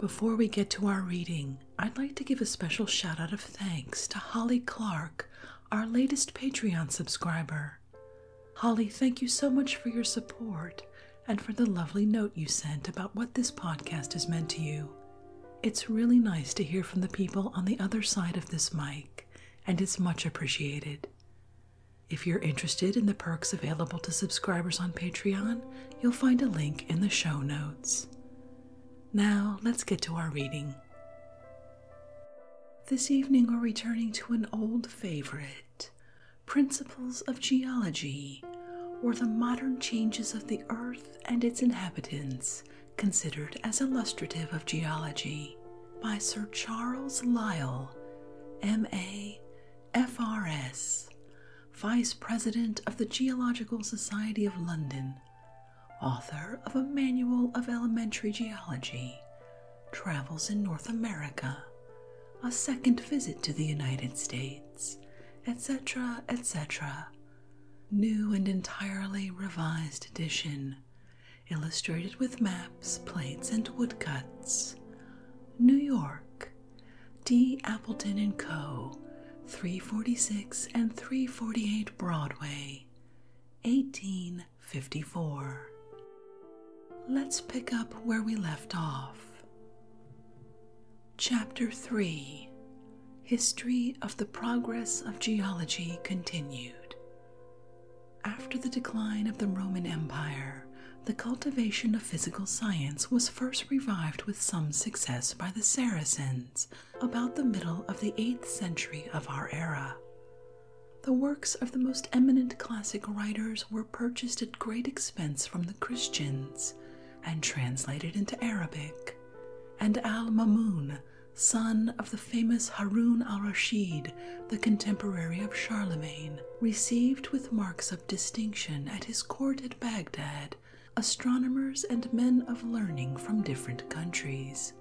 Before we get to our reading, I'd like to give a special shout out of thanks to Holly Clark, our latest Patreon subscriber. Holly, thank you so much for your support and for the lovely note you sent about what this podcast has meant to you. It's really nice to hear from the people on the other side of this mic, and it's much appreciated. If you're interested in the perks available to subscribers on Patreon, you'll find a link in the show notes. Now let's get to our reading. This evening we're returning to an old favorite Principles of Geology, or the modern changes of the earth and its inhabitants, considered as illustrative of geology, by Sir Charles Lyell, M.A., F.R.S., Vice President of the Geological Society of London, author of a Manual of Elementary Geology, Travels in North America, A Second Visit to the United States, etc., etc. New and entirely revised edition, illustrated with maps, plates, and woodcuts. New York, D. Appleton & Co., 346 and 348 Broadway, 1854. Let's pick up where we left off. Chapter 3 History of the Progress of Geology Continued. After the decline of the Roman Empire, the cultivation of physical science was first revived with some success by the Saracens about the middle of the 8th century of our era. The works of the most eminent classic writers were purchased at great expense from the Christians and translated into Arabic, and Al Mamun, son of the famous Harun al Rashid, the contemporary of Charlemagne, received with marks of distinction at his court at Baghdad astronomers and men of learning from different countries.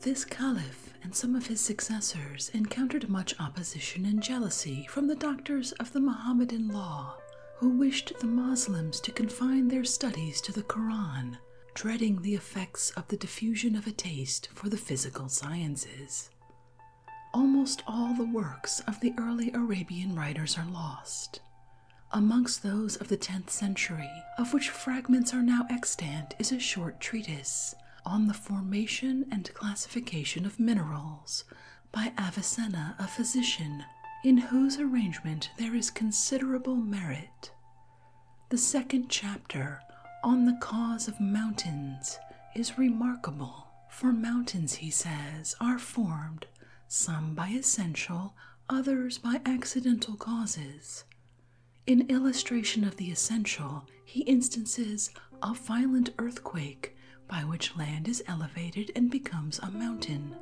This caliph and some of his successors encountered much opposition and jealousy from the doctors of the Mohammedan law, who wished the Moslems to confine their studies to the Koran, dreading the effects of the diffusion of a taste for the physical sciences. Almost all the works of the early Arabian writers are lost, Amongst those of the 10th century, of which fragments are now extant, is a short treatise on the formation and classification of minerals by Avicenna, a physician, in whose arrangement there is considerable merit. The second chapter on the cause of mountains is remarkable, for mountains, he says, are formed some by essential, others by accidental causes. In illustration of the essential, he instances a violent earthquake by which land is elevated and becomes a mountain.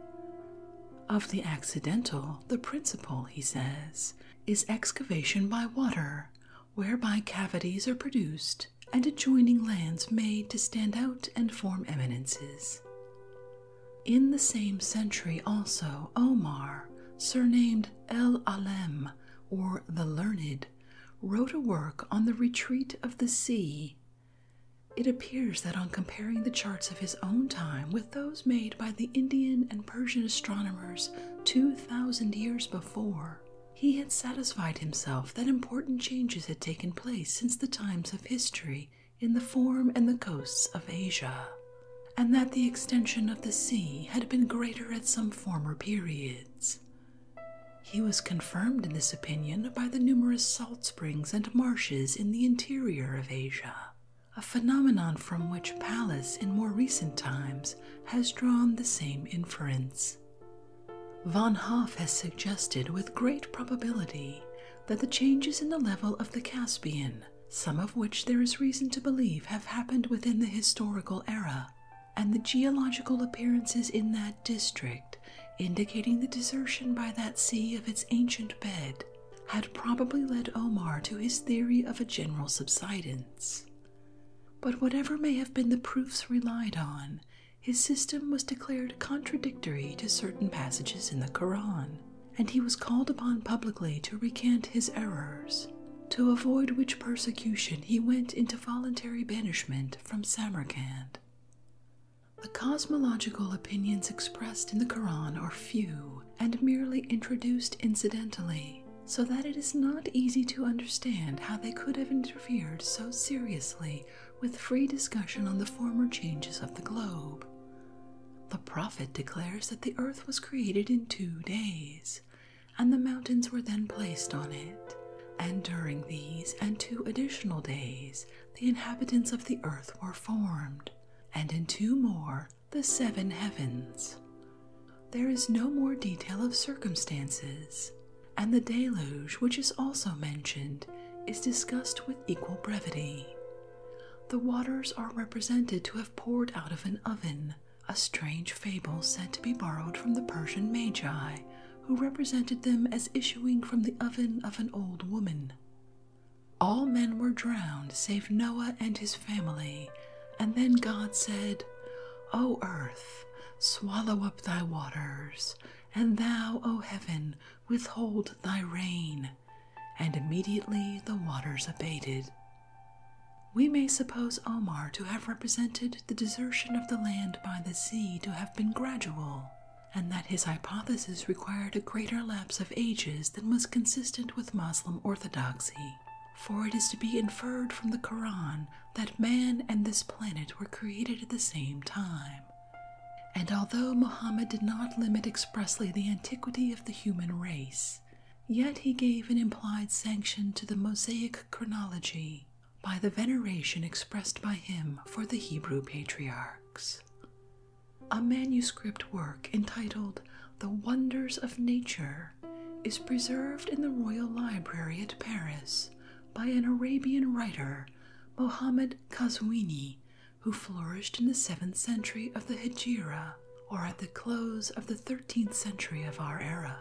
Of the accidental, the principle, he says, is excavation by water, whereby cavities are produced and adjoining lands made to stand out and form eminences. In the same century, also, Omar, surnamed El Alem or the Learned, wrote a work on the retreat of the sea. It appears that on comparing the charts of his own time with those made by the Indian and Persian astronomers 2,000 years before, he had satisfied himself that important changes had taken place since the times of history in the form and the coasts of Asia, and that the extension of the sea had been greater at some former periods. He was confirmed in this opinion by the numerous salt springs and marshes in the interior of Asia, a phenomenon from which Pallas in more recent times has drawn the same inference. Von Hoff has suggested with great probability that the changes in the level of the Caspian, some of which there is reason to believe have happened within the historical era, and the geological appearances in that district, indicating the desertion by that sea of its ancient bed, had probably led Omar to his theory of a general subsidence. But whatever may have been the proofs relied on, his system was declared contradictory to certain passages in the Koran, and he was called upon publicly to recant his errors, to avoid which persecution he went into voluntary banishment from Samarcand. The cosmological opinions expressed in the Koran are few and merely introduced incidentally, so that it is not easy to understand how they could have interfered so seriously with free discussion on the former changes of the globe. The prophet declares that the earth was created in two days, and the mountains were then placed on it. And during these and two additional days, the inhabitants of the earth were formed, and in two more, the seven heavens. There is no more detail of circumstances, and the deluge, which is also mentioned, is discussed with equal brevity. The waters are represented to have poured out of an oven, a strange fable said to be borrowed from the Persian Magi, who represented them as issuing from the oven of an old woman. All men were drowned save Noah and his family, and then God said, O earth, swallow up thy waters, and thou, O heaven, withhold thy rain, and immediately the waters abated. We may suppose Omar to have represented the desertion of the land by the sea to have been gradual, and that his hypothesis required a greater lapse of ages than was consistent with Moslem orthodoxy, for it is to be inferred from the Quran that man and this planet were created at the same time. And although Muhammad did not limit expressly the antiquity of the human race, yet he gave an implied sanction to the Mosaic chronology by the veneration expressed by him for the Hebrew patriarchs. A manuscript work entitled The Wonders of Nature is preserved in the Royal Library at Paris by an Arabian writer, Mohammed Kazwini, who flourished in the 7th century of the Hijra or at the close of the 13th century of our era.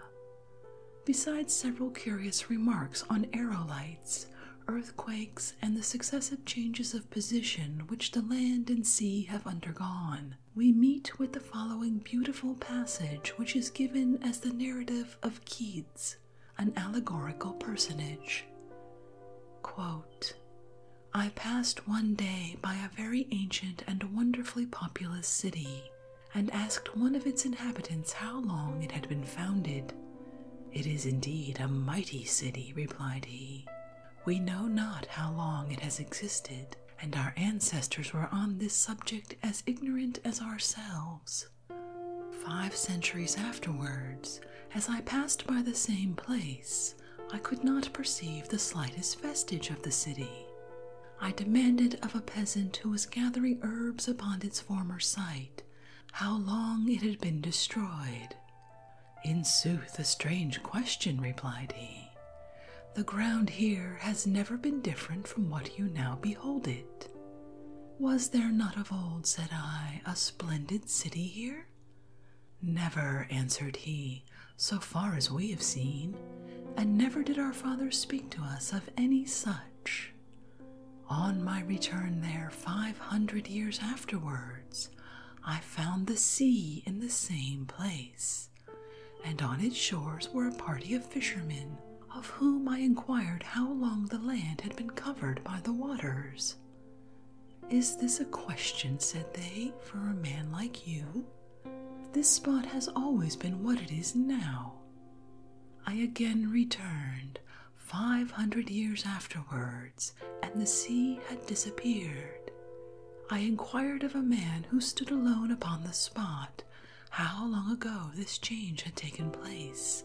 Besides several curious remarks on aerolites, earthquakes, and the successive changes of position which the land and sea have undergone, we meet with the following beautiful passage, which is given as the narrative of Keats an allegorical personage. I passed one day by a very ancient and wonderfully populous city, and asked one of its inhabitants how long it had been founded. It is indeed a mighty city, replied he. We know not how long it has existed, and our ancestors were on this subject as ignorant as ourselves. Five centuries afterwards, as I passed by the same place, I could not perceive the slightest vestige of the city. I demanded of a peasant who was gathering herbs upon its former site how long it had been destroyed. In sooth, a strange question, replied he. The ground here has never been different from what you now behold it. Was there not of old, said I, a splendid city here? Never, answered he, so far as we have seen, and never did our fathers speak to us of any such. On my return there five hundred years afterwards, I found the sea in the same place, and on its shores were a party of fishermen, of whom I inquired how long the land had been covered by the waters. Is this a question, said they, for a man like you? This spot has always been what it is now. I again returned, five hundred years afterwards, and the sea had disappeared. I inquired of a man who stood alone upon the spot how long ago this change had taken place,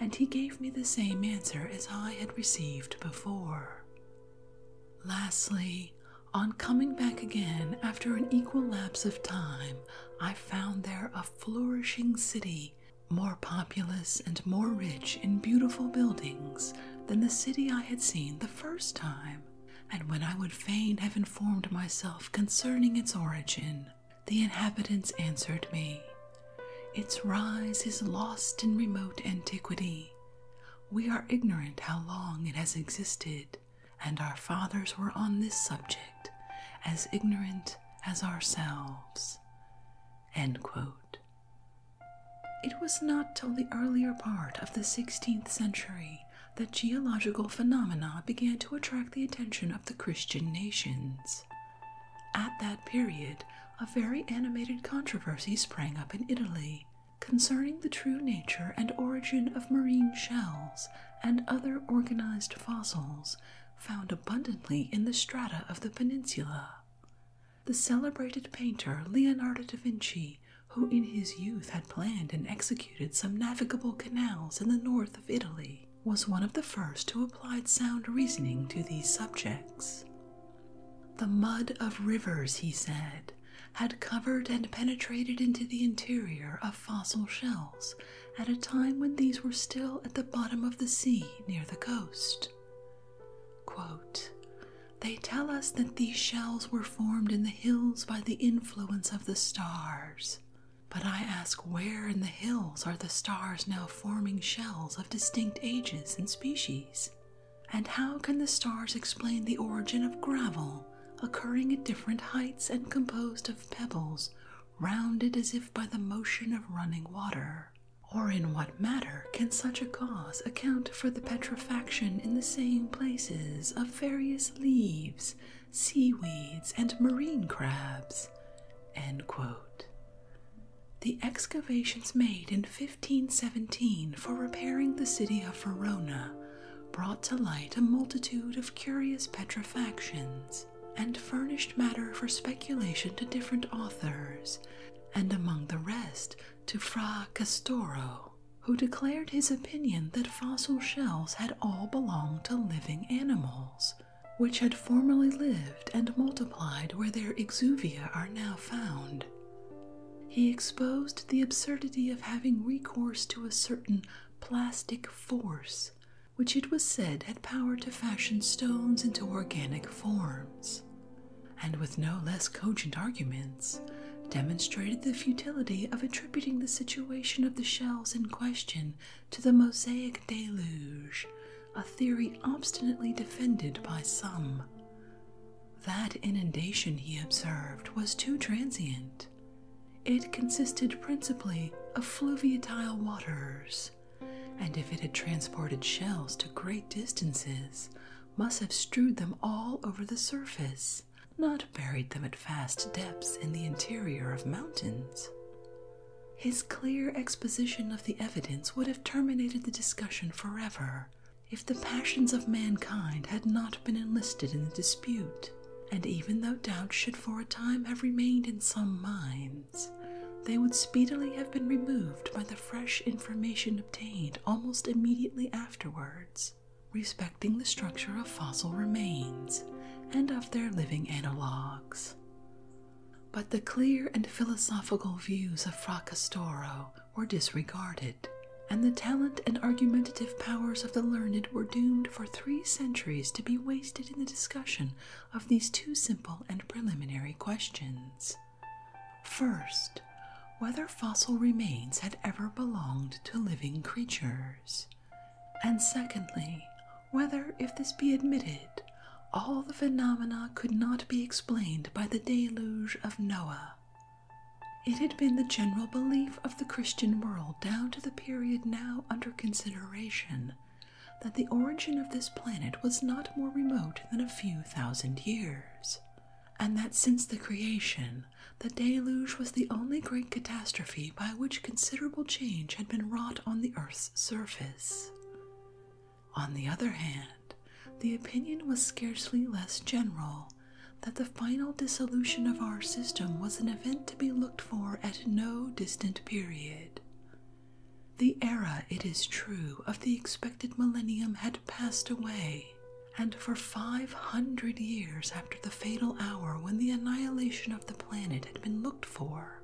and he gave me the same answer as I had received before. Lastly, on coming back again after an equal lapse of time, I found there a flourishing city, more populous and more rich in beautiful buildings than the city I had seen the first time. And when I would fain have informed myself concerning its origin, the inhabitants answered me, Its rise is lost in remote antiquity. We are ignorant how long it has existed, and our fathers were on this subject as ignorant as ourselves. It was not till the earlier part of the 16th century that geological phenomena began to attract the attention of the Christian nations. At that period, a very animated controversy sprang up in Italy concerning the true nature and origin of marine shells and other organized fossils found abundantly in the strata of the peninsula. The celebrated painter Leonardo da Vinci, who in his youth had planned and executed some navigable canals in the north of Italy, was one of the first who applied sound reasoning to these subjects. The mud of rivers, he said, had covered and penetrated into the interior of fossil shells at a time when these were still at the bottom of the sea near the coast. they tell us that these shells were formed in the hills by the influence of the stars. But I ask where in the hills are the stars now forming shells of distinct ages and species? And how can the stars explain the origin of gravel occurring at different heights and composed of pebbles rounded as if by the motion of running water? Or in what matter can such a cause account for the petrifaction in the same places of various leaves, seaweeds, and marine crabs? The excavations made in 1517 for repairing the city of Verona brought to light a multitude of curious petrifactions and furnished matter for speculation to different authors, and among the rest to Fra Castoro, who declared his opinion that fossil shells had all belonged to living animals, which had formerly lived and multiplied where their exuviae are now found. He exposed the absurdity of having recourse to a certain plastic force, which it was said had power to fashion stones into organic forms, and with no less cogent arguments, demonstrated the futility of attributing the situation of the shells in question to the Mosaic deluge a theory obstinately defended by some. That inundation, he observed, was too transient. It consisted principally of fluviatile waters, and if it had transported shells to great distances, must have strewed them all over the surface, not buried them at vast depths in the interior of mountains. His clear exposition of the evidence would have terminated the discussion forever if the passions of mankind had not been enlisted in the dispute, and even though doubts should for a time have remained in some minds, they would speedily have been removed by the fresh information obtained almost immediately afterwards respecting the structure of fossil remains and of their living analogues. But the clear and philosophical views of Fracastoro were disregarded, and the talent and argumentative powers of the learned were doomed for three centuries to be wasted in the discussion of these two simple and preliminary questions. First, whether fossil remains had ever belonged to living creatures, and secondly, whether, if this be admitted, all the phenomena could not be explained by the deluge of Noah. It had been the general belief of the Christian world down to the period now under consideration that the origin of this planet was not more remote than a few thousand years, and that since the creation, the deluge was the only great catastrophe by which considerable change had been wrought on the Earth's surface. On the other hand, the opinion was scarcely less general that the final dissolution of our system was an event to be looked for at no distant period. The era, it is true, of the expected millennium had passed away, and for 500 years after the fatal hour when the annihilation of the planet had been looked for,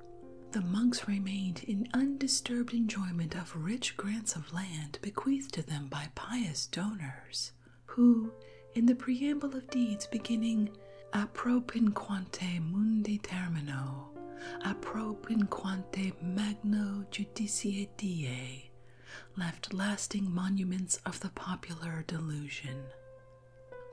the monks remained in undisturbed enjoyment of rich grants of land bequeathed to them by pious donors, who, in the preamble of deeds beginning "a Apropinquante mundi termino, "a apropinquante magno judicie die, left lasting monuments of the popular delusion.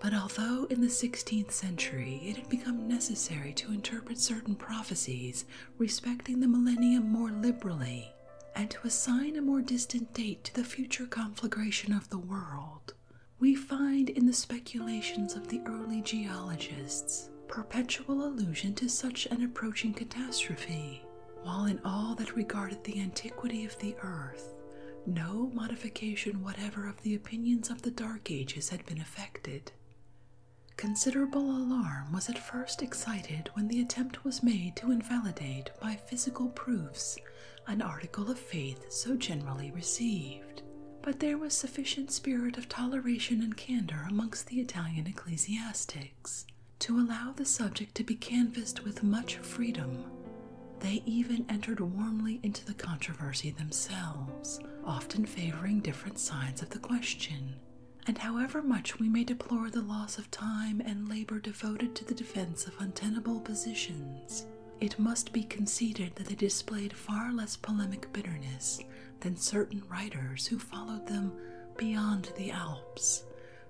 But although in the 16th century it had become necessary to interpret certain prophecies respecting the millennium more liberally, and to assign a more distant date to the future conflagration of the world, we find in the speculations of the early geologists perpetual allusion to such an approaching catastrophe, while in all that regarded the antiquity of the earth, no modification whatever of the opinions of the Dark Ages had been effected. Considerable alarm was at first excited when the attempt was made to invalidate by physical proofs an article of faith so generally received, but there was sufficient spirit of toleration and candor amongst the Italian ecclesiastics to allow the subject to be canvassed with much freedom. They even entered warmly into the controversy themselves, often favoring different different sides of the question, and however much we may deplore the loss of time and labor devoted to the defense of untenable positions, it must be conceded that they displayed far less polemic bitterness than certain writers who followed them beyond the Alps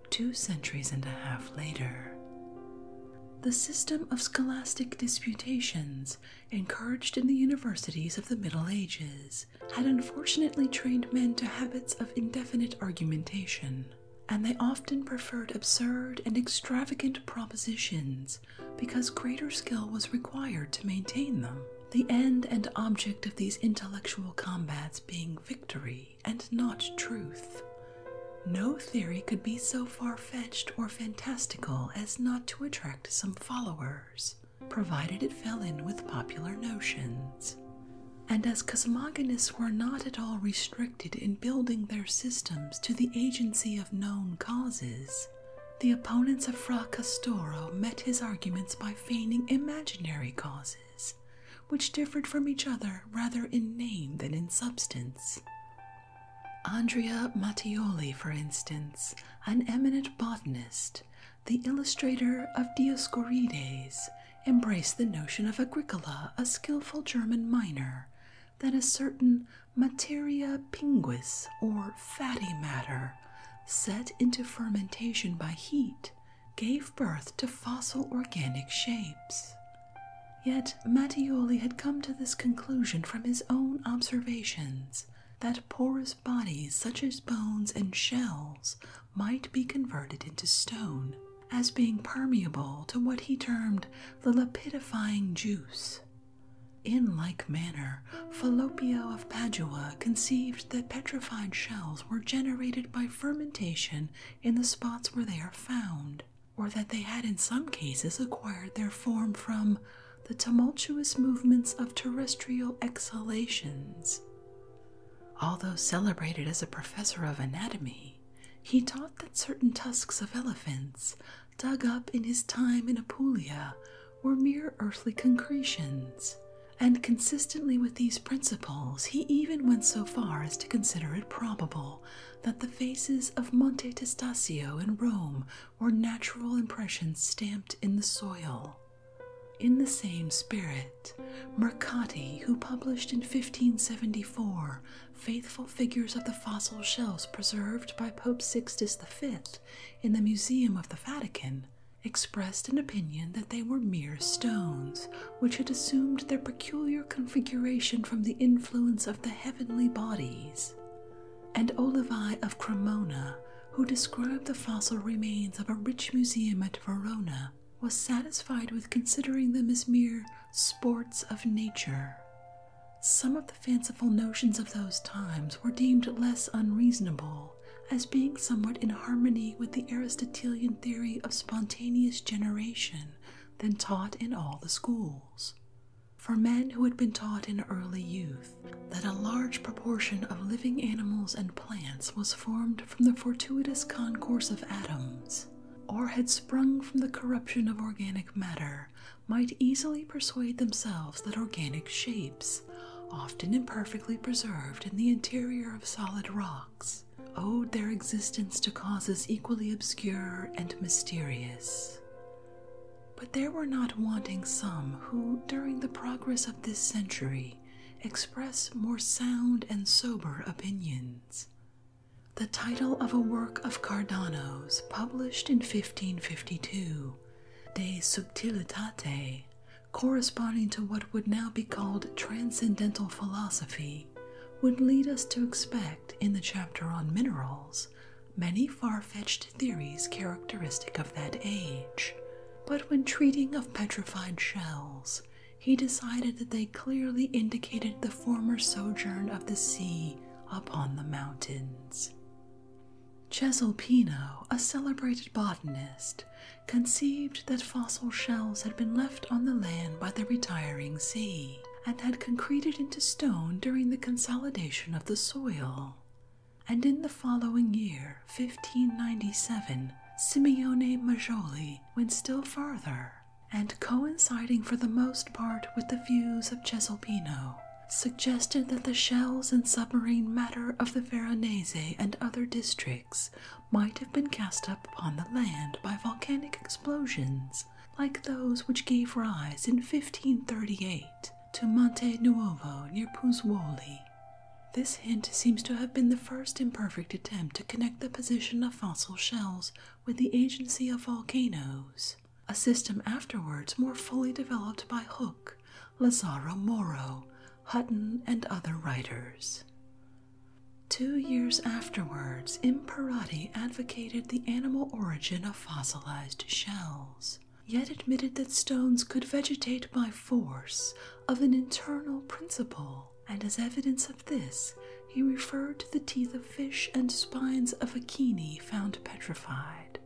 two centuries and a half later. The system of scholastic disputations encouraged in the universities of the Middle Ages, had unfortunately trained men to habits of indefinite argumentation, and they often preferred absurd and extravagant propositions because greater skill was required to maintain them, the end and object of these intellectual combats being victory and not truth. No theory could be so far fetched or fantastical as not to attract some followers provided it fell in with popular notions. And as cosmogonists were not at all restricted in building their systems to the agency of known causes, the opponents of Fra Castoro met his arguments by feigning imaginary causes, which differed from each other rather in name than in substance. Andrea Mattioli, for instance, an eminent botanist, the illustrator of Dioscorides, embraced the notion of Agricola, a skilful German miner, that a certain materia pinguis, or fatty matter, set into fermentation by heat, gave birth to fossil organic shapes. Yet Mattioli had come to this conclusion from his own observations that porous bodies, such as bones and shells, might be converted into stone, as being permeable to what he termed the lapidifying juice. In like manner, Fallopio of Padua conceived that petrified shells were generated by fermentation in the spots where they are found, or that they had in some cases acquired their form from the tumultuous movements of terrestrial exhalations. Although celebrated as a professor of anatomy, he taught that certain tusks of elephants, dug up in his time in Apulia, were mere earthly concretions, and consistently with these principles, he even went so far as to consider it probable that the faces of Monte Testaccio in Rome or natural impressions stamped in the soil. In the same spirit, Mercati, who published in 1574 faithful figures of the fossil shells preserved by Pope Sixtus V in the Museum of the Vatican, expressed an opinion that they were mere stones, which had assumed their peculiar configuration from the influence of the heavenly bodies. And Olivi of Cremona who described the fossil remains of a rich museum at Verona, was satisfied with considering them as mere sports of nature. Some of the fanciful notions of those times were deemed less unreasonable as being somewhat in harmony with the Aristotelian theory of spontaneous generation then taught in all the schools. For men who had been taught in early youth that a large proportion of living animals and plants was formed from the fortuitous concourse of atoms, or had sprung from the corruption of organic matter, might easily persuade themselves that organic shapes, often imperfectly preserved in the interior of solid rocks, owed their existence to causes equally obscure and mysterious. But there were not wanting some who, during the progress of this century, express more sound and sober opinions. The title of a work of Cardano's, published in 1552, De Subtilitate, corresponding to what would now be called transcendental philosophy, would lead us to expect in the chapter on minerals many far fetched theories characteristic of that age, but when treating of petrified shells, he decided that they clearly indicated the former sojourn of the sea upon the mountains. Cesalpino, a celebrated botanist, conceived that fossil shells had been left on the land by the retiring sea and had concreted into stone during the consolidation of the soil and in the following year, 1597, Simeone Majoli went still farther, and coinciding for the most part with the views of Cesalpino, suggested that the shells and submarine matter of the Veronese and other districts might have been cast up upon the land by volcanic explosions like those which gave rise in 1538 to Monte Nuovo near Puzzuoli. This hint seems to have been the first imperfect attempt to connect the position of fossil shells with the agency of volcanoes, a system afterwards more fully developed by Hooke, Lazzaro Moro, Hutton, and other writers. Two years afterwards, Imperati advocated the animal origin of fossilized shells yet admitted that stones could vegetate by force of an internal principle, and as evidence of this, he referred to the teeth of fish and spines of acheni found petrified.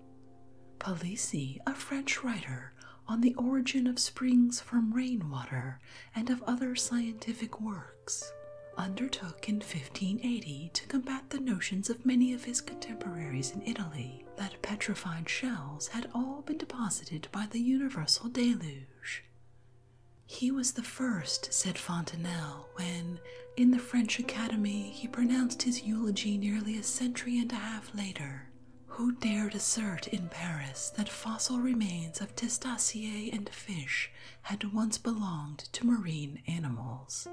Palissy, a French writer on the origin of springs from rainwater and of other scientific works, undertook in 1580 to combat the notions of many of his contemporaries in Italy that petrified shells had all been deposited by the universal deluge. He was the first, said Fontenelle, when, in the French Academy, he pronounced his eulogy nearly a century and a half later, who dared assert in Paris that fossil remains of testacea and fish had once belonged to marine animals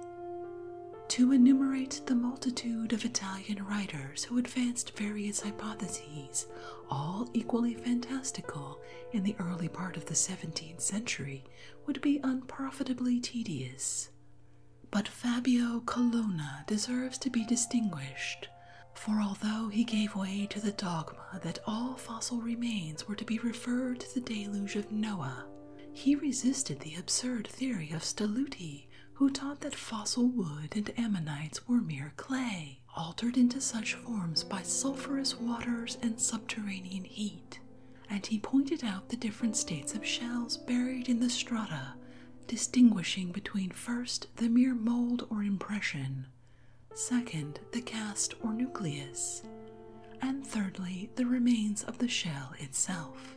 to enumerate the multitude of Italian writers who advanced various hypotheses, all equally fantastical, in the early part of the 17th century would be unprofitably tedious. But Fabio Colonna deserves to be distinguished, for although he gave way to the dogma that all fossil remains were to be referred to the deluge of Noah, he resisted the absurd theory of Stelluti who taught that fossil wood and ammonites were mere clay, altered into such forms by sulphurous waters and subterranean heat, and he pointed out the different states of shells buried in the strata, distinguishing between first the mere mold or impression, second the cast or nucleus, and thirdly the remains of the shell itself.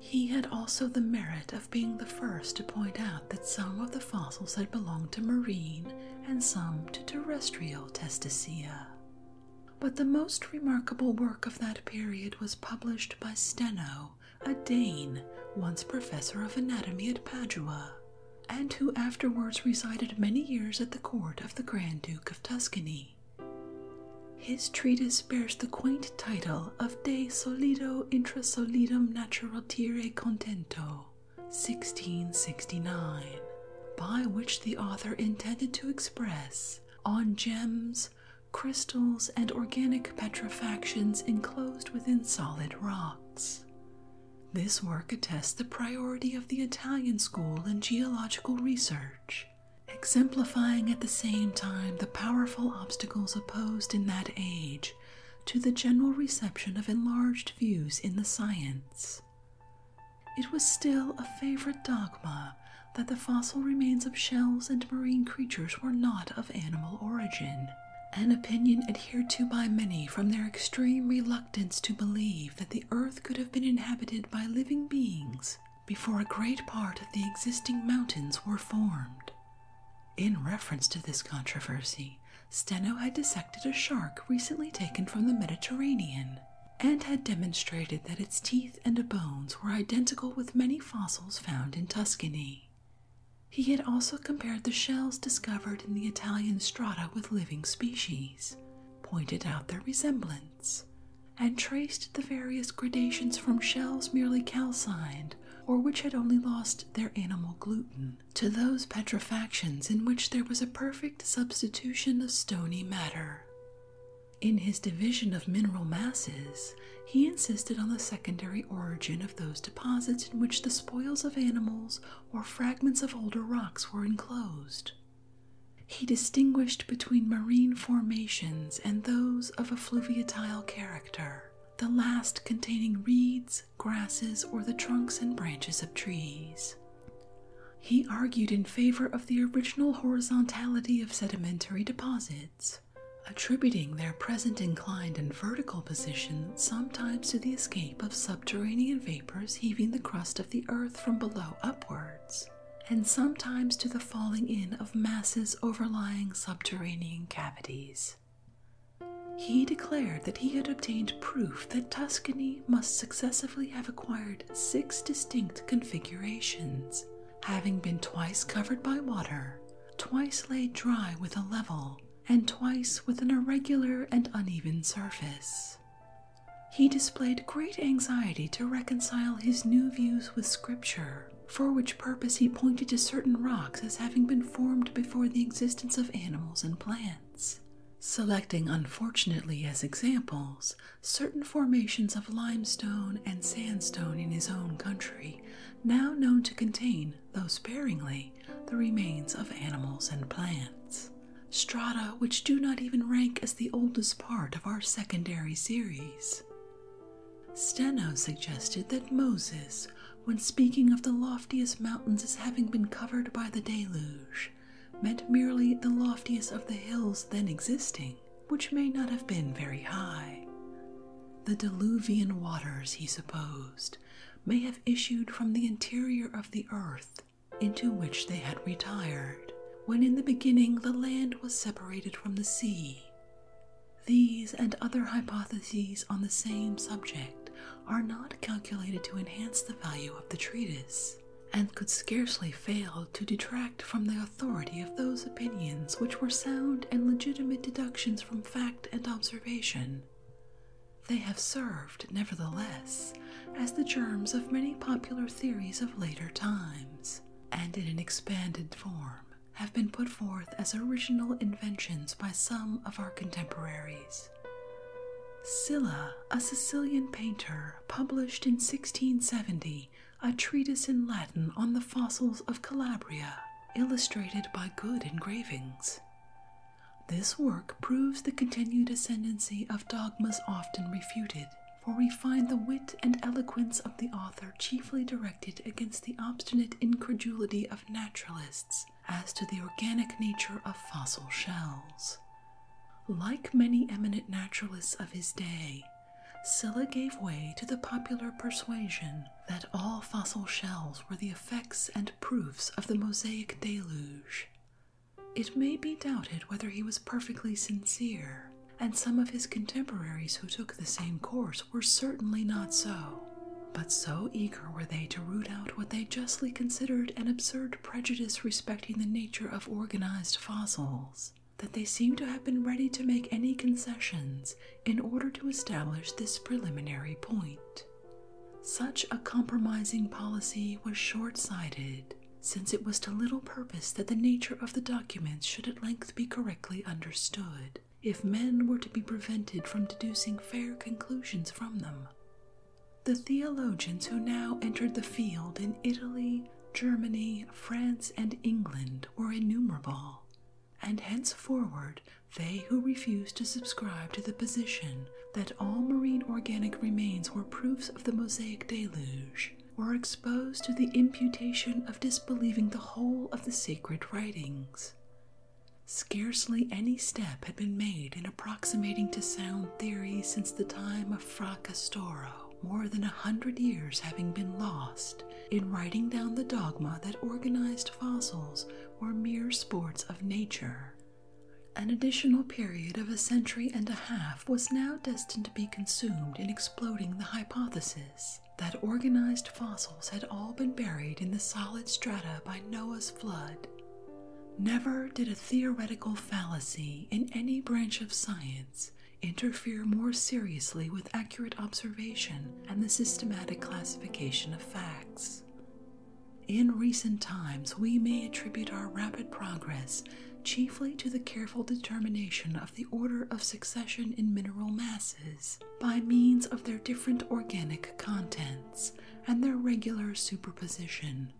He had also the merit of being the first to point out that some of the fossils had belonged to marine and some to terrestrial Testacea. But the most remarkable work of that period was published by Steno, a Dane, once professor of anatomy at Padua, and who afterwards resided many years at the court of the Grand Duke of Tuscany. His treatise bears the quaint title of De Solido Intra Solidum Naturatire Contento, 1669, by which the author intended to express, on gems, crystals, and organic petrifactions enclosed within solid rocks. This work attests the priority of the Italian school in geological research exemplifying at the same time the powerful obstacles opposed in that age to the general reception of enlarged views in the science. It was still a favorite dogma that the fossil remains of shells and marine creatures were not of animal origin, an opinion adhered to by many from their extreme reluctance to believe that the earth could have been inhabited by living beings before a great part of the existing mountains were formed. In reference to this controversy, Steno had dissected a shark recently taken from the Mediterranean and had demonstrated that its teeth and bones were identical with many fossils found in Tuscany. He had also compared the shells discovered in the Italian strata with living species, pointed out their resemblance, and traced the various gradations from shells merely calcined or which had only lost their animal gluten to those petrifactions in which there was a perfect substitution of stony matter. In his division of mineral masses, he insisted on the secondary origin of those deposits in which the spoils of animals or fragments of older rocks were enclosed. He distinguished between marine formations and those of a fluviatile character, the last containing reeds, grasses, or the trunks and branches of trees. He argued in favor of the original horizontality of sedimentary deposits, attributing their present inclined and vertical position sometimes to the escape of subterranean vapors heaving the crust of the earth from below upwards, and sometimes to the falling in of masses overlying subterranean cavities. He declared that he had obtained proof that Tuscany must successively have acquired six distinct configurations, having been twice covered by water, twice laid dry with a level, and twice with an irregular and uneven surface. He displayed great anxiety to reconcile his new views with Scripture, for which purpose he pointed to certain rocks as having been formed before the existence of animals and plants, selecting unfortunately as examples certain formations of limestone and sandstone in his own country, now known to contain, though sparingly, the remains of animals and plants. Strata which do not even rank as the oldest part of our secondary series. Steno suggested that Moses, when speaking of the loftiest mountains as having been covered by the deluge, meant merely the loftiest of the hills then existing, which may not have been very high. The diluvian waters, he supposed, may have issued from the interior of the earth into which they had retired, when in the beginning the land was separated from the sea, these and other hypotheses on the same subject are not calculated to enhance the value of the treatise, and could scarcely fail to detract from the authority of those opinions which were sound and legitimate deductions from fact and observation. They have served, nevertheless, as the germs of many popular theories of later times, and in an expanded form, have been put forth as original inventions by some of our contemporaries. Scylla, a Sicilian painter, published in 1670 a treatise in Latin on the fossils of Calabria, illustrated by good engravings. This work proves the continued ascendancy of dogmas often refuted, for we find the wit and eloquence of the author chiefly directed against the obstinate incredulity of naturalists as to the organic nature of fossil shells. Like many eminent naturalists of his day, Silla gave way to the popular persuasion that all fossil shells were the effects and proofs of the Mosaic deluge. It may be doubted whether he was perfectly sincere, and some of his contemporaries who took the same course were certainly not so. But so eager were they to root out what they justly considered an absurd prejudice respecting the nature of organized fossils that they seem to have been ready to make any concessions in order to establish this preliminary point. Such a compromising policy was short sighted, since it was to little purpose that the nature of the documents should at length be correctly understood if men were to be prevented from deducing fair conclusions from them. The theologians who now entered the field in Italy, Germany, France, and England were innumerable, and henceforward they who refused to subscribe to the position that all marine organic remains were proofs of the Mosaic deluge were exposed to the imputation of disbelieving the whole of the sacred writings. Scarcely any step had been made in approximating to sound theory since the time of Fracastoro, more than a hundred years having been lost in writing down the dogma that organized fossils were mere sports of nature. An additional period of a century and a half was now destined to be consumed in exploding the hypothesis that organized fossils had all been buried in the solid strata by Noah's flood. Never did a theoretical fallacy in any branch of science interfere more seriously with accurate observation and the systematic classification of facts. In recent times, we may attribute our rapid progress chiefly to the careful determination the order of succession in mineral masses by means of their different organic contents and their regular superposition.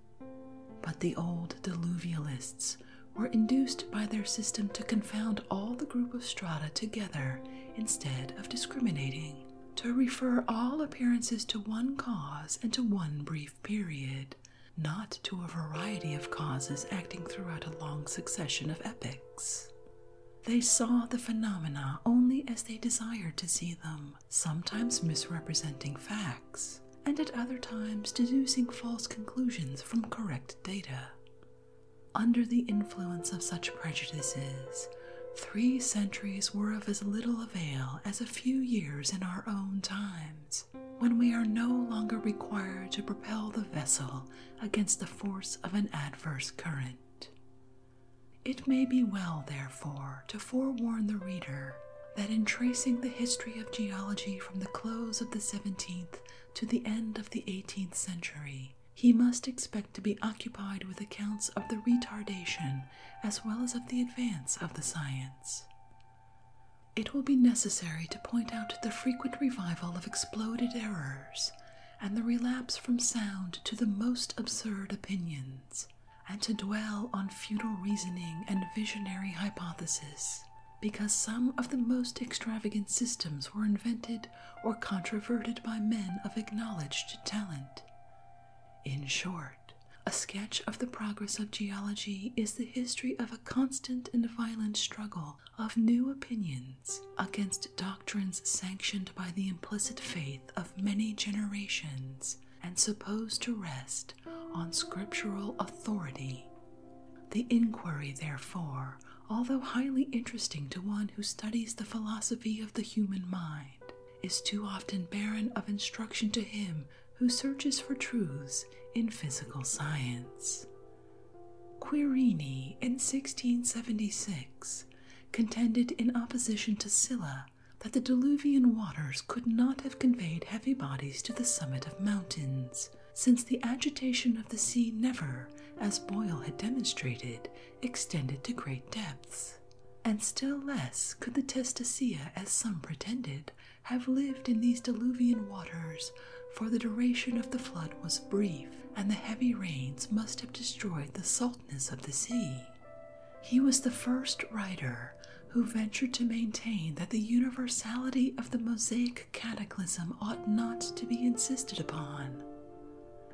But the old diluvialists were induced by their system to confound all the group of strata together instead of discriminating, to refer all appearances to one cause and to one brief period, not to a variety of causes acting throughout a long succession of epochs. They saw the phenomena only as they desired to see them, sometimes misrepresenting facts, and at other times deducing false conclusions from correct data. Under the influence of such prejudices, three centuries were of as little avail as a few years in our own times, when we are no longer required to propel the vessel against the force of an adverse current. It may be well, therefore, to forewarn the reader that in tracing the history of geology from the close of the 17th to the end of the 18th century, he must expect to be occupied with accounts of the retardation as well as of the advance of the science. It will be necessary to point out the frequent revival of exploded errors and the relapse from sound to the most absurd opinions, and to dwell on futile reasoning and visionary hypotheses, because some of the most extravagant systems were invented or controverted by men of acknowledged talent. In short, a sketch of the progress of geology is the history of a constant and violent struggle of new opinions against doctrines sanctioned by the implicit faith of many generations and supposed to rest on scriptural authority. The inquiry, therefore, although highly interesting to one who studies the philosophy of the human mind, is too often barren of instruction to him who searches for truths in physical science. Quirini in 1676 contended in opposition to Sylla that the diluvian waters could not have conveyed heavy bodies to the summit of mountains, since the agitation of the sea never, as Boyle had demonstrated, extended to great depths. And still less could the Testacea, as some pretended, have lived in these diluvian waters for the duration of the flood was brief, and the heavy rains must have destroyed the saltness of the sea. He was the first writer who ventured to maintain that the universality of the Mosaic cataclysm ought not to be insisted upon.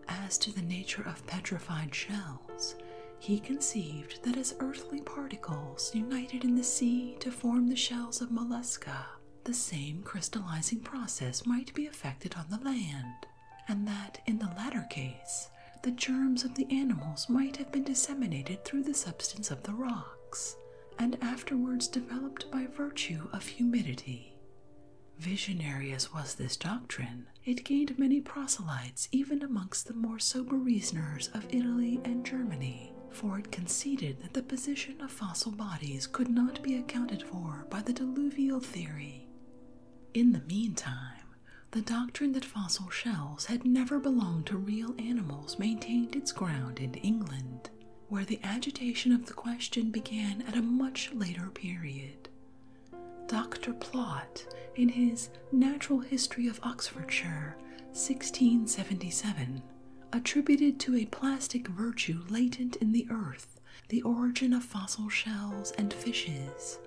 As to the nature of petrified shells, he conceived that as earthly particles united in the sea to form the shells of mollusca, the same crystallizing process might be effected on the land, and that in the latter case, the germs of the animals might have been disseminated through the substance of the rocks, and afterwards developed by virtue of humidity. Visionary as was this doctrine, it gained many proselytes even amongst the more sober reasoners of Italy and Germany, for it conceded that the position of fossil bodies could not be accounted for by the diluvial theory. In the meantime, the doctrine that fossil shells had never belonged to real animals maintained its ground in England, where the agitation of the question began at a much later period. Dr. Plot, in his Natural History of Oxfordshire, 1677, attributed to a plastic virtue latent in the earth the origin of fossil shells and fishes,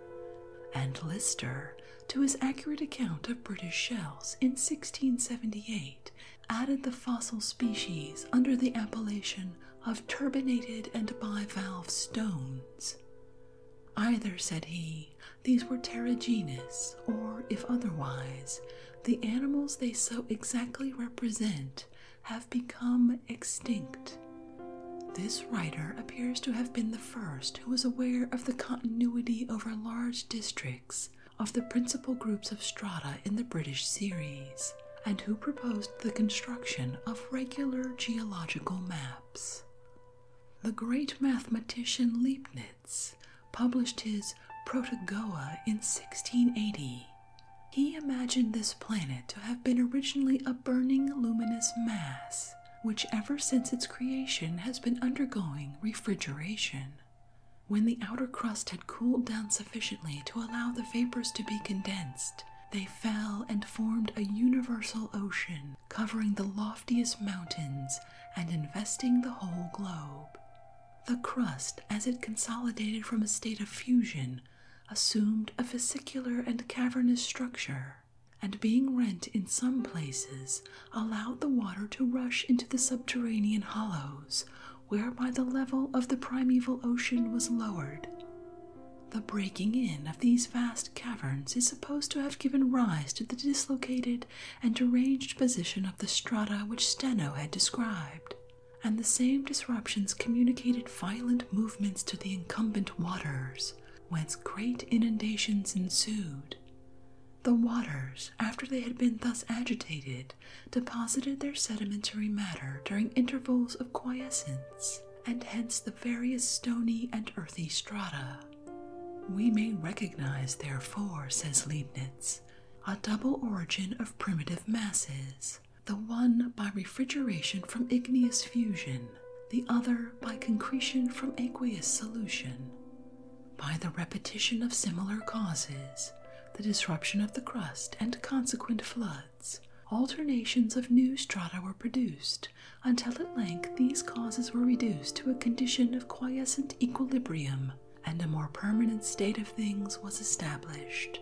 and Lister, to his accurate account of British shells in 1678, added the fossil species under the appellation of turbinated and bivalve stones. Either, said he, these were terrigenous, or if otherwise, the animals they so exactly represent have become extinct. This writer appears to have been the first who was aware of the continuity over large districts of the principal groups of strata in the British series, and who proposed the construction of regular geological maps. The great mathematician Leibnitz published his *Protogaea* in 1680 he imagined this planet to have been originally a burning luminous mass, which ever since its creation has been undergoing refrigeration. When the outer crust had cooled down sufficiently to allow the vapors to be condensed, they fell and formed a universal ocean covering the loftiest mountains and investing the whole globe. The crust, as it consolidated from a state of fusion, assumed a vesicular and cavernous structure, and being rent in some places, allowed the water to rush into the subterranean hollows, whereby the level of the primeval ocean was lowered. The breaking in of these vast caverns is supposed to have given rise to the dislocated and deranged position of the strata which Steno had described and the same disruptions communicated violent movements to the incumbent waters, whence great inundations ensued. The waters, after they had been thus agitated, deposited their sedimentary matter during intervals of quiescence, and hence the various stony and earthy strata. We may recognize, therefore, says Leibnitz, a double origin of primitive masses, the one by refrigeration from igneous fusion, the other by concretion from aqueous solution. By the repetition of similar causes, the disruption of the crust and consequent floods, alternations of new strata were produced until at length these causes were reduced to a condition of quiescent equilibrium and a more permanent state of things was established.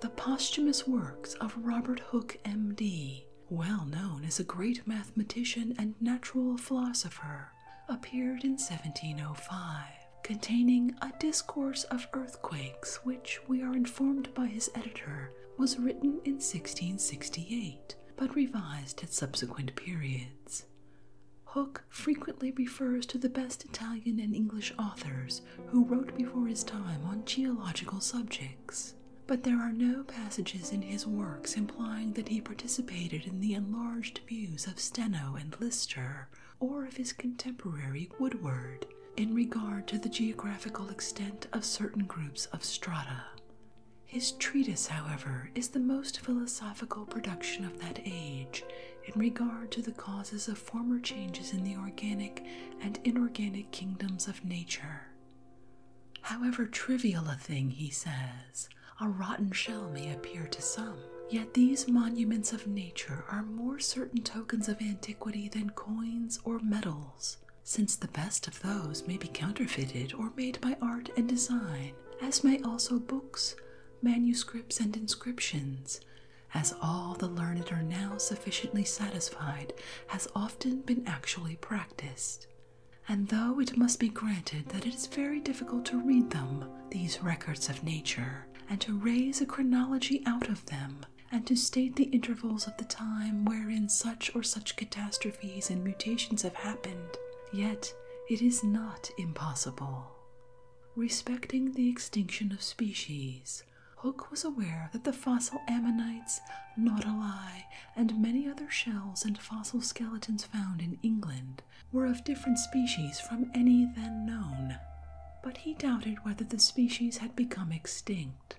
The posthumous works of Robert Hooke, M.D., well known as a great mathematician and natural philosopher, appeared in 1705, containing a discourse of earthquakes, which we are informed by his editor was written in 1668 but revised at subsequent periods. Hooke frequently refers to the best Italian and English authors who wrote before his time on geological subjects, but there are no passages in his works implying that he participated in the enlarged views of Steno and Lister or of his contemporary Woodward in regard to the geographical extent of certain groups of strata. His treatise, however, is the most philosophical production of that age in regard to the causes of former changes in the organic and inorganic kingdoms of nature. However trivial a thing, he says, a rotten shell may appear to some, yet these monuments of nature are more certain tokens of antiquity than coins or medals, since the best of those may be counterfeited or made by art and design, as may also books, manuscripts, and inscriptions, as all the learned are now sufficiently satisfied, has often been actually practiced. And though it must be granted that it is very difficult to read them, these records of nature, and to raise a chronology out of them, and to state the intervals of the time wherein such or such catastrophes and mutations have happened, yet it is not impossible. Respecting the extinction of species, Hooke was aware that the fossil ammonites, nautili, and many other shells and fossil skeletons found in England were of different species from any then known. But he doubted whether the species had become extinct,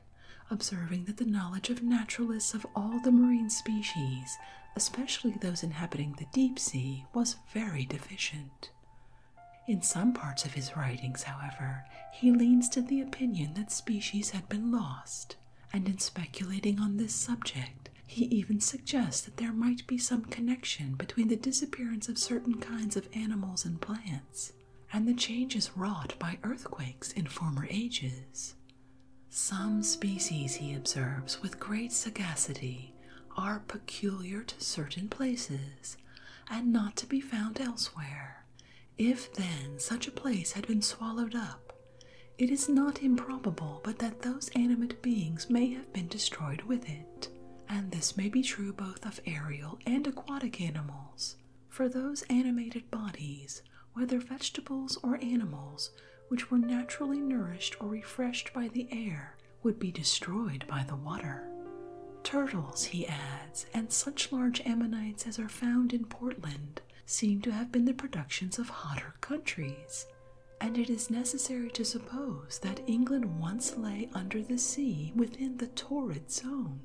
observing that the knowledge of naturalists of all the marine species, especially those inhabiting the deep sea, was very deficient. In some parts of his writings, however, he leans to the opinion that species had been lost, and in speculating on this subject, he even suggests that there might be some connection between the disappearance of certain kinds of animals and plants and the changes wrought by earthquakes in former ages. Some species, he observes with great sagacity, are peculiar to certain places and not to be found elsewhere. If then such a place had been swallowed up, it is not improbable but that those animate beings may have been destroyed with it. And this may be true both of aerial and aquatic animals, for those animated bodies, whether vegetables or animals, which were naturally nourished or refreshed by the air, would be destroyed by the water. Turtles, he adds, and such large ammonites as are found in Portland seem to have been the productions of hotter countries, and it is necessary to suppose that England once lay under the sea within the torrid zone.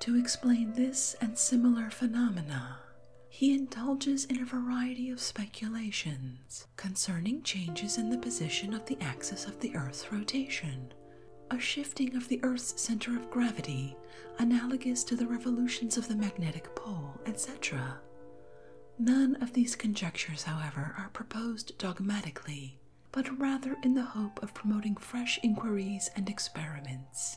To explain this and similar phenomena, he indulges in a variety of speculations, concerning changes in the position of the axis of the Earth's rotation, a shifting of the Earth's center of gravity analogous to the revolutions of the magnetic pole, etc. None of these conjectures, however, are proposed dogmatically, but rather in the hope of promoting fresh inquiries and experiments.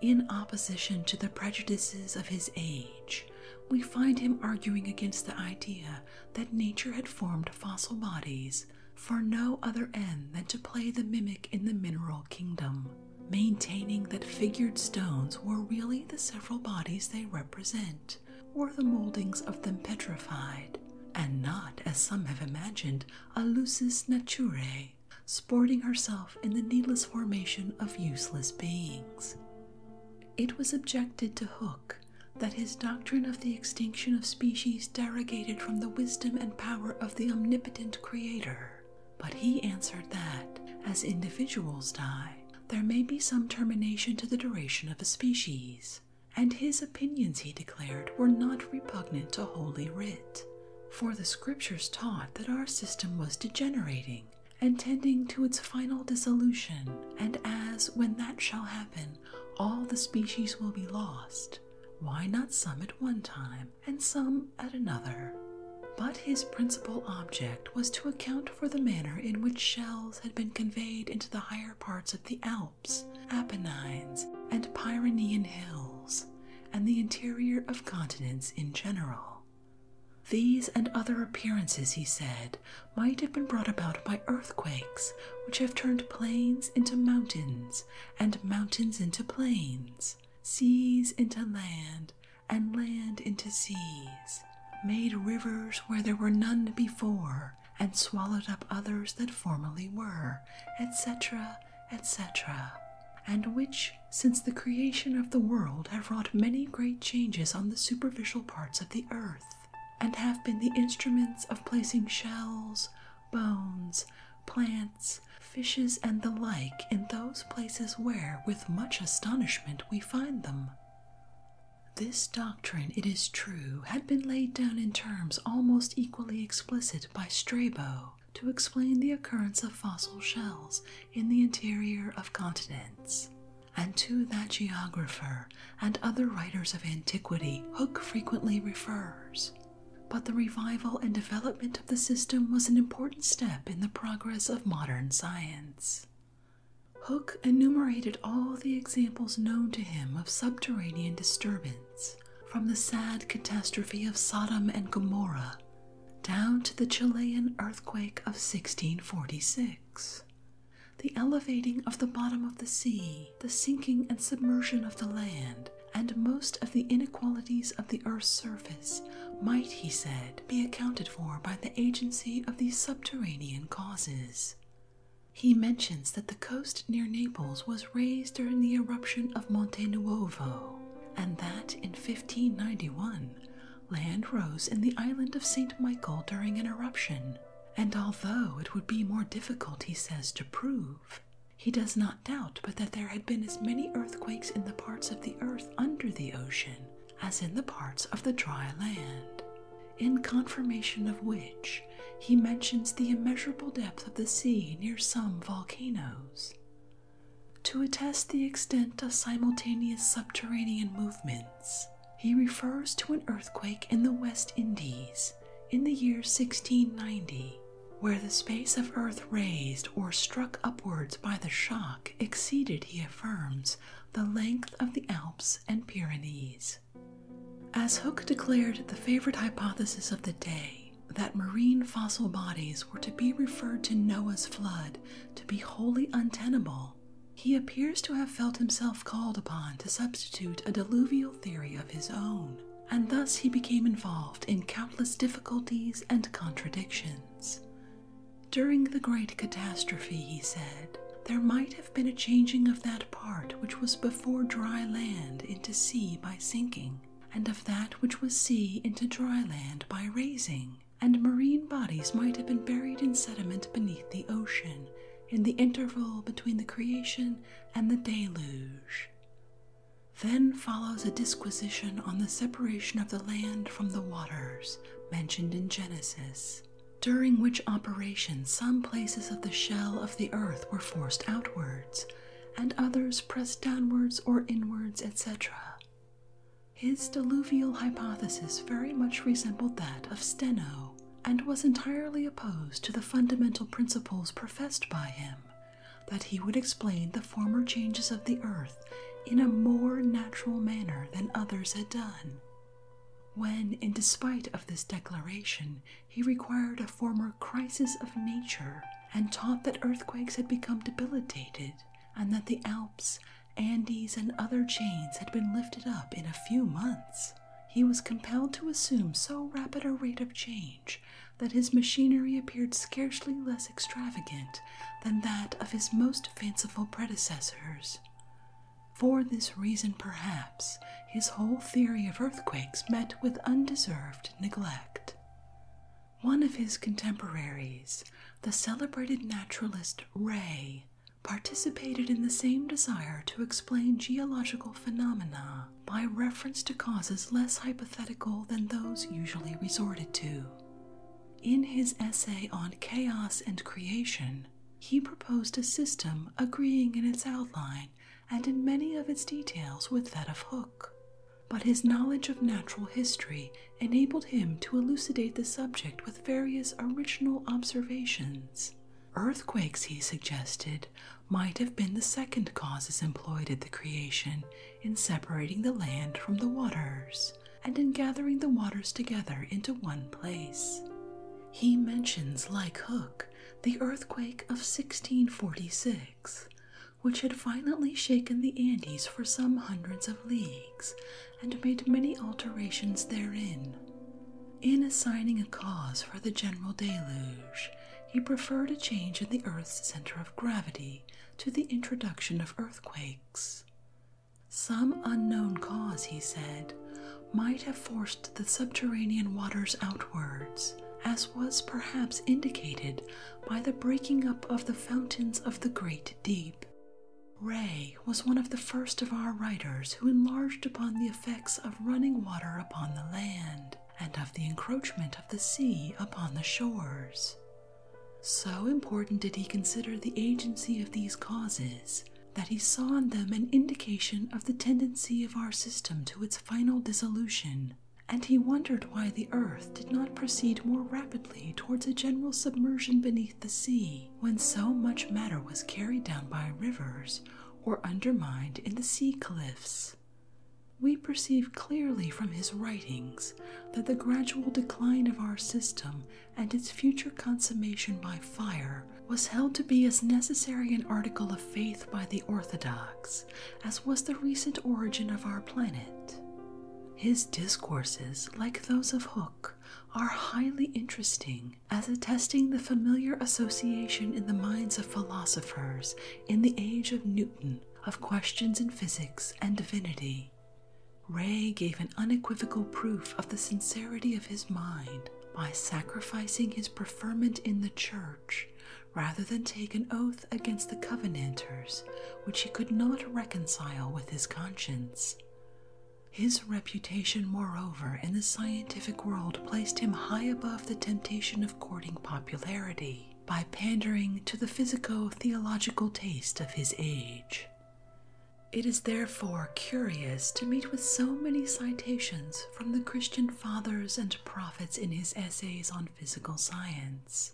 In opposition to the prejudices of his age, we find him arguing against the idea that nature had formed fossil bodies for no other end than to play the mimic in the mineral kingdom, maintaining that figured stones were really the several bodies they represent, or the moldings of them petrified, and not, as some have imagined, a lusus naturae, sporting herself in the needless formation of useless beings. It was objected to Hook that his doctrine of the extinction of species derogated from the wisdom and power of the omnipotent Creator. But he answered that, as individuals die, there may be some termination to the duration of a species, and his opinions, he declared, were not repugnant to Holy Writ. For the Scriptures taught that our system was degenerating and tending to its final dissolution, and as, when that shall happen, all the species will be lost. Why not some at one time and some at another? But his principal object was to account for the manner in which shells had been conveyed into the higher parts of the Alps, Apennines, and Pyrenean hills, and the interior of continents in general. These and other appearances, he said, might have been brought about by earthquakes, which have turned plains into mountains, and mountains into plains, seas into land, and land into seas, made rivers where there were none before, and swallowed up others that formerly were, etc., etc., and which, since the creation of the world, have wrought many great changes on the superficial parts of the earth and have been the instruments of placing shells, bones, plants, fishes, and the like in those places where, with much astonishment, we find them. This doctrine, it is true, had been laid down in terms almost equally explicit by Strabo to explain the occurrence of fossil shells in the interior of continents. And to that geographer and other writers of antiquity, Hook frequently refers. But the revival and development of the system was an important step in the progress of modern science. Hook enumerated all the examples known to him of subterranean disturbance, from the sad catastrophe of Sodom and Gomorrah down to the Chilean earthquake of 1646 the elevating of the bottom of the sea, the sinking and submersion of the land, and most of the inequalities of the earth's surface might, he said, be accounted for by the agency of these subterranean causes. He mentions that the coast near Naples was raised during the eruption of Monte Nuovo, and that in 1591 land rose in the island of St. Michael during an eruption, and although it would be more difficult, he says, to prove, he does not doubt but that there had been as many earthquakes in the parts of the earth under the ocean as in the parts of the dry land. In confirmation of which, he mentions the immeasurable depth of the sea near some volcanoes. To attest the extent of simultaneous subterranean movement, he refers to an earthquake in the West Indies in the year 1690, where the space of earth raised or struck upwards by the shock exceeded, he affirms, the length of the Alps and Pyrenees. As Hooke declared the favorite hypothesis of the day, that marine fossil bodies were to be referred to Noah's flood to be wholly untenable he appears to have felt himself called upon to substitute a diluvial theory of his own, and thus he became involved in countless difficulties and contradictions. During the great catastrophe, he said, there might have been a changing of that part which was before dry land into sea by sinking, and of that which was sea into dry land by raising, and marine bodies might have been buried in sediment beneath the ocean, in the interval between the creation and the deluge. Then follows a disquisition on the separation of the land from the waters mentioned in Genesis, during which operation some places of the shell of the earth were forced outwards, and others pressed downwards or inwards, etc. His diluvial hypothesis very much resembled that of Steno, and was entirely opposed to the fundamental principles professed by him that he would explain the former changes of the earth in a more natural manner than others had done. When, in despite of this declaration, he required a former crisis of nature and taught that earthquakes had become debilitated and that the Alps, Andes, and other chains had been lifted up in a few months, he was compelled to assume so rapid a rate of change that his machinery appeared scarcely less extravagant than that of his most fanciful predecessors. For this reason, perhaps, his whole theory of earthquakes met with undeserved neglect. One of his contemporaries, the celebrated naturalist Ray, participated in the same desire to explain geological phenomena by reference to causes less hypothetical than those usually resorted to. In his essay on chaos and creation, he proposed a system agreeing in its outline and in many of its details with that of Hook, but his knowledge of natural history enabled him to elucidate the subject with various original observations Earthquakes, he suggested, might have been the second causes employed at the creation in separating the land from the waters and in gathering the waters together into one place. He mentions, like Hook, the earthquake of 1646, which had violently shaken the Andes for some hundreds of leagues and made many alterations therein. In assigning a cause for the general deluge, he preferred a change in the Earth's center of gravity to the introduction of earthquakes. Some unknown cause, he said, might have forced the subterranean waters outwards, as was perhaps indicated by the breaking up of the fountains of the great deep. Ray was one of the first of our writers who enlarged upon the effects of running water upon the land and of the encroachment of the sea upon the shores. So important did he consider the agency of these causes that he saw in them an indication of the tendency of our system to its final dissolution, and he wondered why the earth did not proceed more rapidly towards a general submersion beneath the sea when so much matter was carried down by rivers or undermined in the sea cliffs. We perceive clearly from his writings that the gradual decline of our system and its future consummation by fire was held to be as necessary an article of faith by the Orthodox as was the recent origin of our planet. His discourses, like those of Hooke, are highly interesting as attesting the familiar association in the minds of philosophers in the age of Newton of questions in physics and divinity. Ray gave an unequivocal proof of the sincerity of his mind by sacrificing his preferment in the church rather than take an oath against the Covenanters, which he could not reconcile with his conscience. His reputation, moreover, in the scientific world placed him high above the temptation of courting popularity by pandering to the physico theological taste of his age. It is therefore curious to meet with so many citations from the Christian fathers and prophets in his essays on physical science,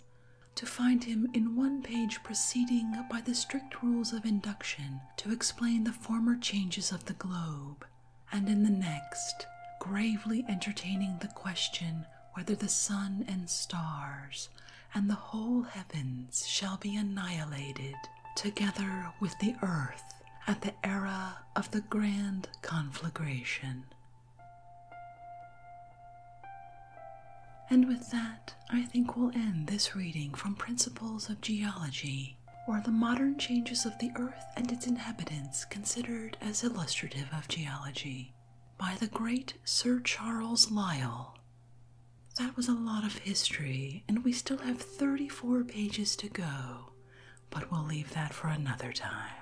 to find him in one page proceeding by the strict rules of induction to explain the former changes of the globe, and in the next, gravely entertaining the question whether the sun and stars and the whole heavens shall be annihilated together with the earth at the era of the grand conflagration. And with that, I think we'll end this reading from Principles of Geology or the modern changes of the earth and its inhabitants considered as illustrative of geology by the great Sir Charles Lyell. That was a lot of history, and we still have 34 pages to go, but we'll leave that for another time.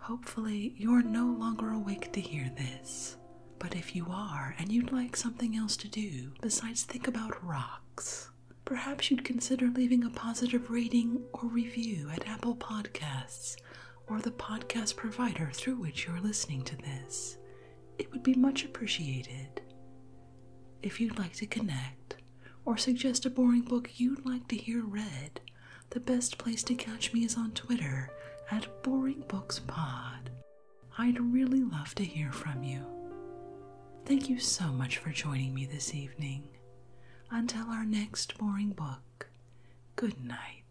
Hopefully, you're no longer awake to hear this, but if you are and you'd like something else to do besides think about rocks, perhaps you'd consider leaving a positive rating or review at Apple Podcasts or the podcast provider through which you're listening to this. It would be much appreciated. If you'd like to connect or suggest a boring book you'd like to hear read, the best place to catch me is on Twitter at BoringBooksPod. I'd really love to hear from you. Thank you so much for joining me this evening. Until our next boring book, good night.